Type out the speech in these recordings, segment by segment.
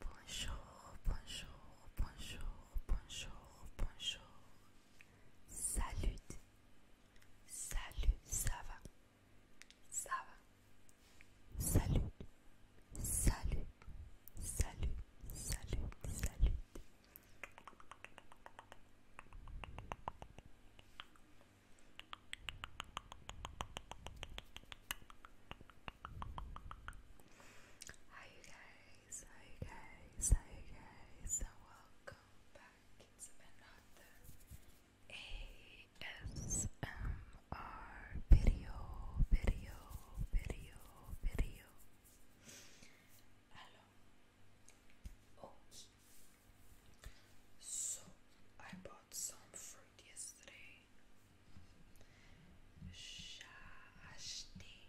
bonjour, bonjour, bonjour, bonjour, bonjour. Salut. Salut, ça va Ça va Salut, salut, salut, salut, salut. Hi guys, hi guys, hi guys, and welcome back back. It's ASMR video, video, video, video. Hello. Okay. So I bought some fruit yesterday. Shashti.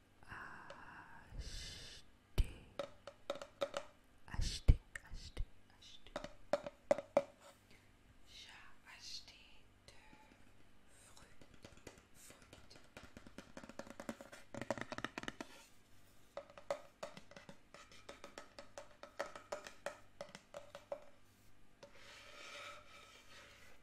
acheter, acheter, acheter, acheter. acheté deux fruits, fruits.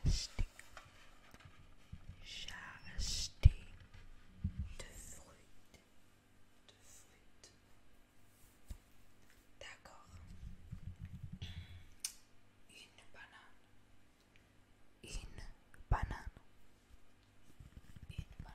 acheter, j'ai acheté de fruits, D'accord. Une banane, une banane, une banane.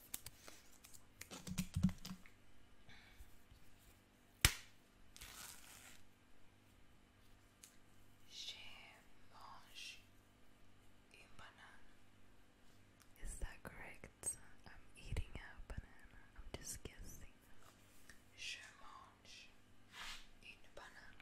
She mange Is that correct? I'm eating a banana. I'm just Je mange une banane.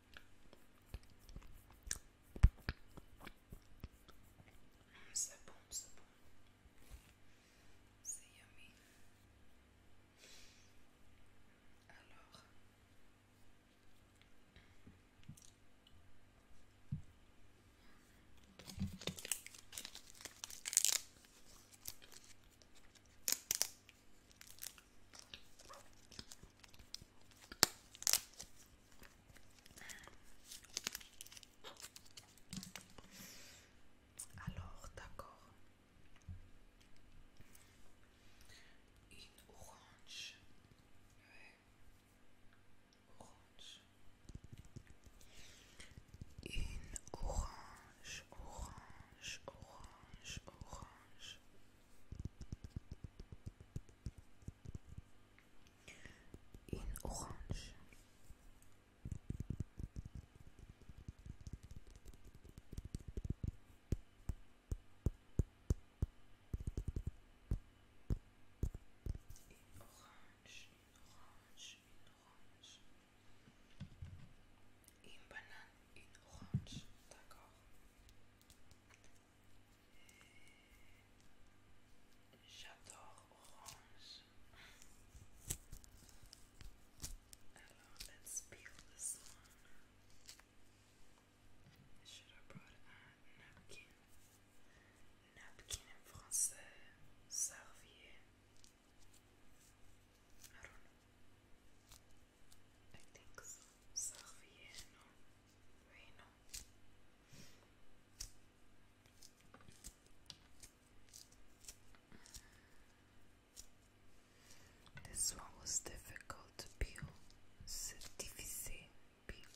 c'est bon, c'est bon. C'est yummy. Alors. Alors, d'accord. Une orange. Une orange, orange, orange, orange. in orange in orange, in orange, in orange. In banane, in orange, d'accord. J'adore orange. Alors, let's peel this one. I should have brought a napkin. Napkin en français, serviette. I don't know. I think Salviano Reno. This one was difficult to peel. C'est difficile. Peel.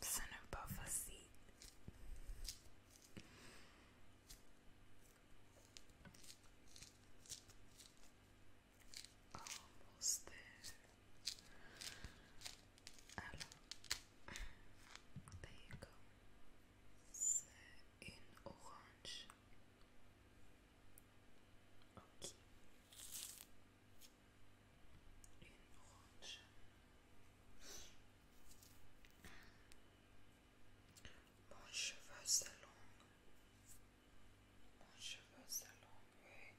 Ce n'est pas facile. Almost there. Alors, there you go. C'est une orange. Ok. Une orange. Mon cheveu, est long. Mon cheveu s'allongeait.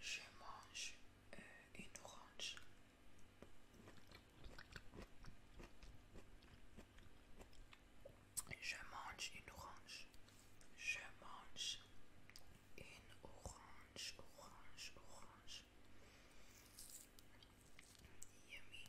Je mange euh, une orange. Je mange une orange. Je mange une orange, orange, orange. Yummy.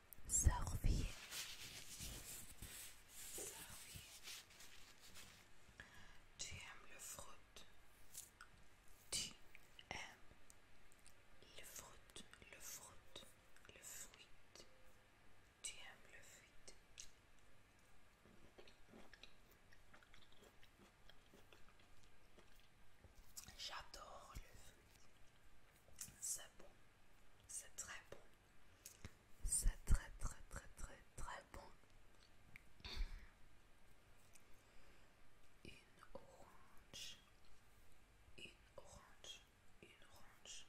Surveillez. Tu aimes le fruit. Tu aimes le fruit, le fruit, le fruit. Tu aimes le fruit. J'adore le fruit. C'est bon. C'est très bon. C'est très très très très très bon. Une orange. Une orange. Une orange.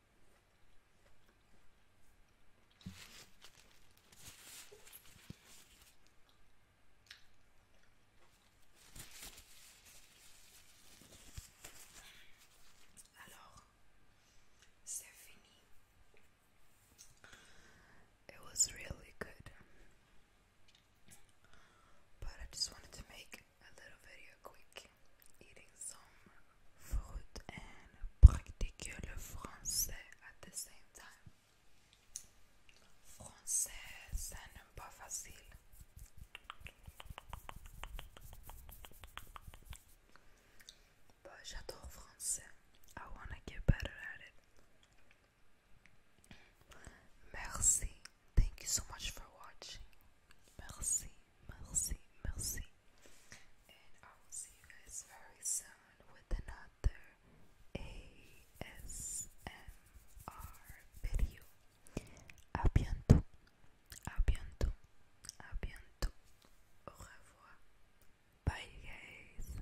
Alors, c'est It was really good. But I just wanted to make a little video quick eating some fruit and practiquer le français at the same time. Français, ça n'est pas facile. But j'adore français. I wanna get better at it. Merci. Thank you so much for watching. Merci. Merci, merci. And I will see you guys very soon with another ASMR video. A bientôt. A bientôt. A Bye, guys.